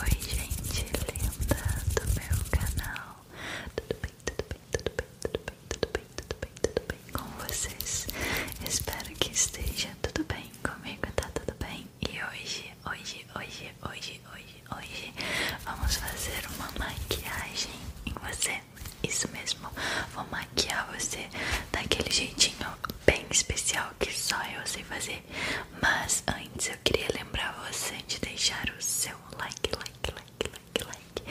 Oi, gente linda do meu canal. Tudo bem, tudo bem, tudo bem, tudo bem, tudo bem, tudo bem, tudo bem com vocês? Espero que esteja tudo bem comigo, tá tudo bem? E hoje, hoje, hoje, hoje, hoje, hoje, vamos fazer uma maquiagem em você. Isso mesmo, vou maquiar você daquele jeitinho bem especial que só eu sei fazer. Mas antes eu queria lembrar você de deixar o seu like, like, like, like, like.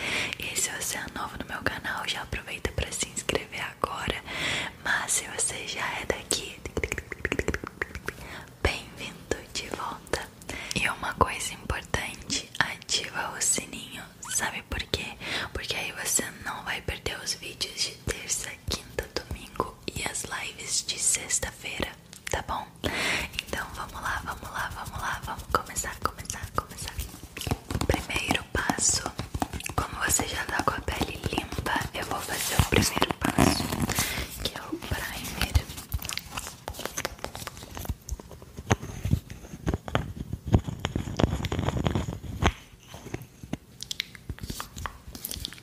E se você é novo no meu canal, já aproveita para se inscrever agora. Mas se você já é daqui, bem-vindo de volta. E uma coisa importante, ativa o sininho. Sabe por quê? Porque aí você não vai perder os vídeos de terça, quinta, domingo e as lives de sexta-feira, tá bom? Então vamos lá, vamos lá, vamos lá, vamos começar, começar, começar. Primeiro passo, como você já tá com a pele limpa, eu vou fazer o primeiro passo, que é o primer.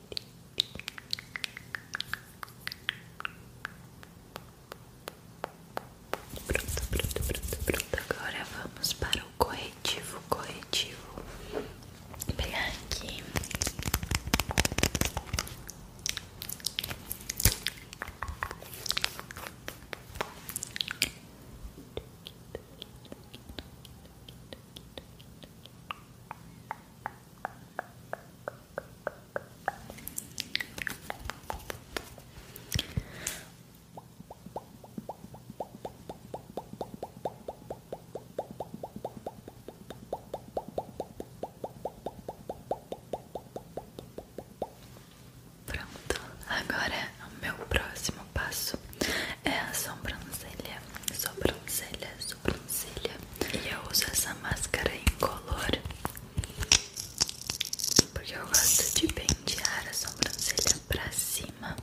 Pronto, pronto, pronto, pronto. Agora vamos para o corretivo, corretivo. Vou pegar aqui. Pronto, agora o meu próximo passo é a sobrancelha, sobrancelhas sobrancelha. E eu uso essa máscara incolor porque eu gosto de pentear a sobrancelha pra cima.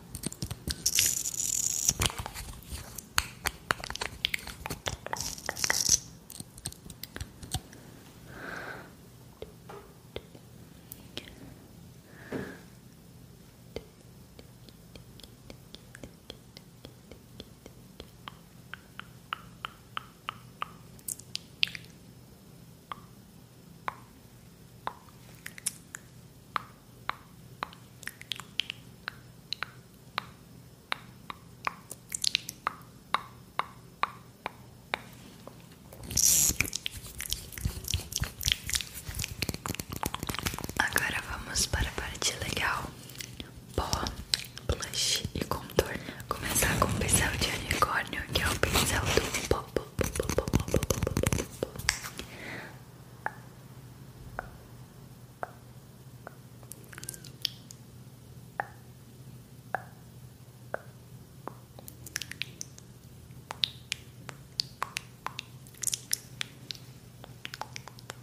Agora vamos para a parte legal, pó, blush e contorno. começar com o pincel de unicórnio, que é o pincel do pó,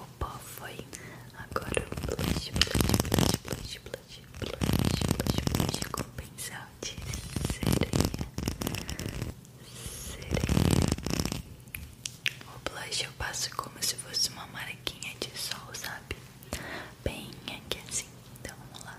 O pó foi agora o blush, blush, blush, blush, blush, blush, blush com pincel de sereia, sereia. O blush eu passo como se fosse uma maraquinha de sol, sabe? Bem aqui assim. Então vamos lá.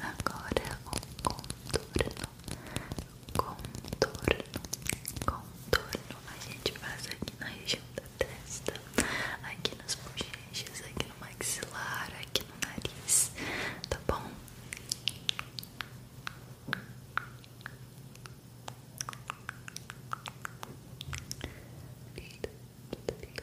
Agora o contorno, contorno, contorno. A gente faz aqui na região da testa, aqui nas bochechas, aqui no maxilar, aqui no nariz, tá bom? Lindo, lindo, lindo.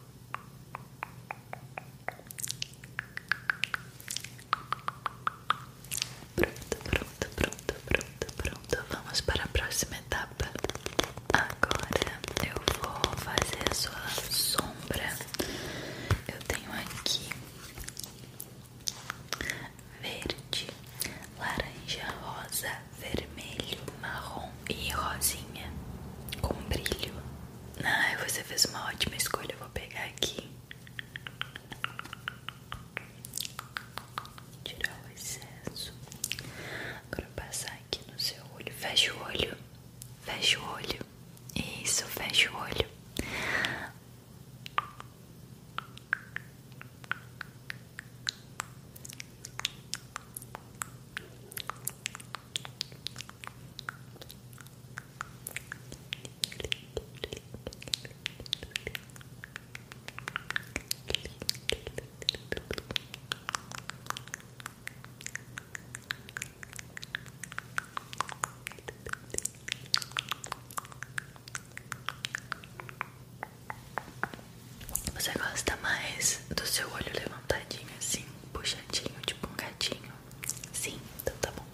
Pronto, pronto, pronto, pronto, pronto. Vamos para a próxima etapa. Agora eu vou fazer a sua sombra. Eu tenho aqui verde, laranja, rosa, vermelho, marrom e rosinha com brilho. Ai, você fez uma ótima escolha. vou pegar aqui. Tirar o excesso. Agora passar aqui no seu olho. Fecha o olho. Fecha o olho. Isso, fecha o olho. Você gosta mais do seu olho levantadinho assim, puxadinho, tipo um gatinho? Sim, tudo então tá bom.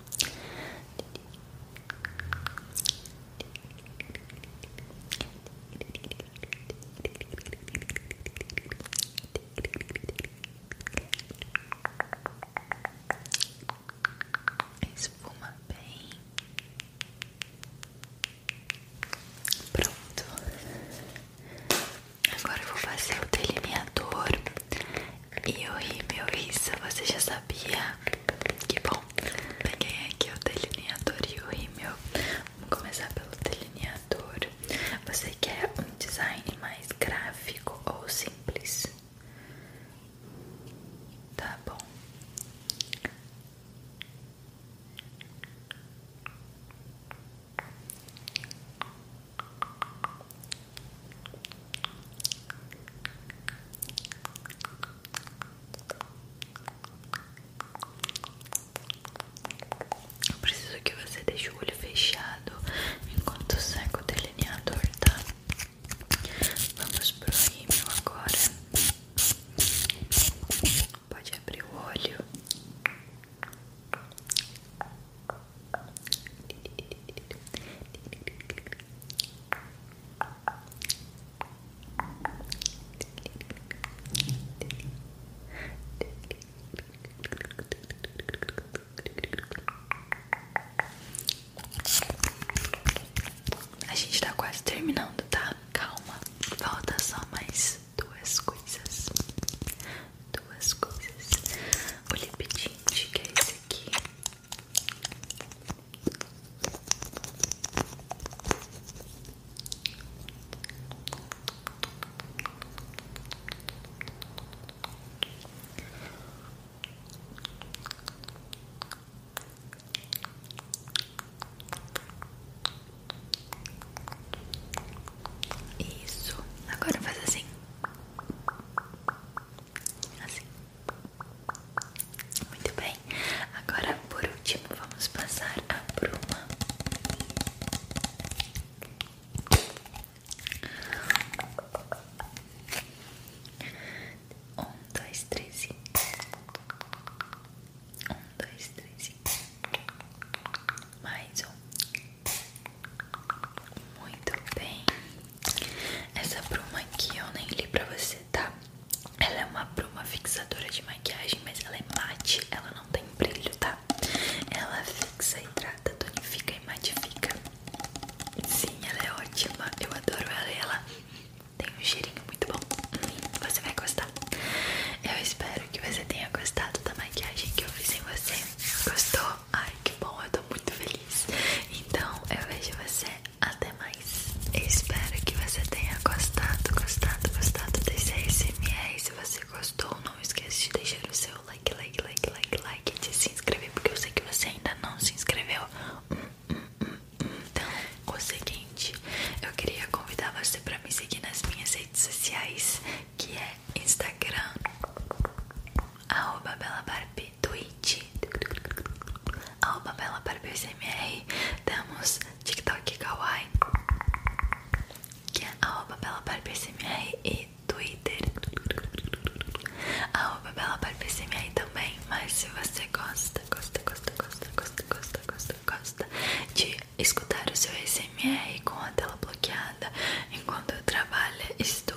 espuma bem. Pronto. Agora eu vou fazer o delineador e meu rímel Você já sabia? Que bom! Peguei aqui o delineador e meu. rímel. Vamos começar pelo delineador. Você quer um design mais gráfico ou simples? Tá bom. Eu preciso que você deixe o olho fechado enquanto seca o delineador, tá? Vamos pro rímel agora. Pode abrir o olho. A gente está quase terminando, tá? Calma, falta só mais duas coisas duas coisas. O lip que é esse aqui. Isso. Agora faz assim. Assim. Muito bem. Agora, por último, vamos passar a bruma. Um, dois, três e... Um, dois, três e... Mais um muito bem. Essa bruma aqui eu nem li pra você, tá? Ela é uma bruma fixadora de maquiagem, mas ela é mate, ela não tem brilho, tá? Ela fixa, hidrata, tonifica e matifica. Sim, ela é ótima, eu adoro ela e ela tem um cheirinho muito bom. Você vai gostar. Eu espero que você tenha gostado da maquiagem que eu fiz em você. Gostou? Ai, que bom, eu tô muito feliz. Então, eu vejo você até mais. espero que você tenha gostado, gostado, gostado desse SMS Se você gostou, não esqueça de deixar o seu like, like, like, like, like e de se inscrever, porque eu sei que você ainda não se inscreveu. Hum, hum, hum, então, o seguinte, eu queria convidar você para me seguir nas minhas redes sociais, que é Instagram arroba Bela Barbie Twitch, arroba Bela Barbie SMR, temos TikTok Kawaii, que é arroba Bela Barbie SMR e Twitter, arroba Bela Barbie SMR também, mas se você gosta, gosta, gosta, gosta, gosta, gosta, gosta, gosta de escutar o seu SMR com a tela bloqueada enquanto trabalha, estou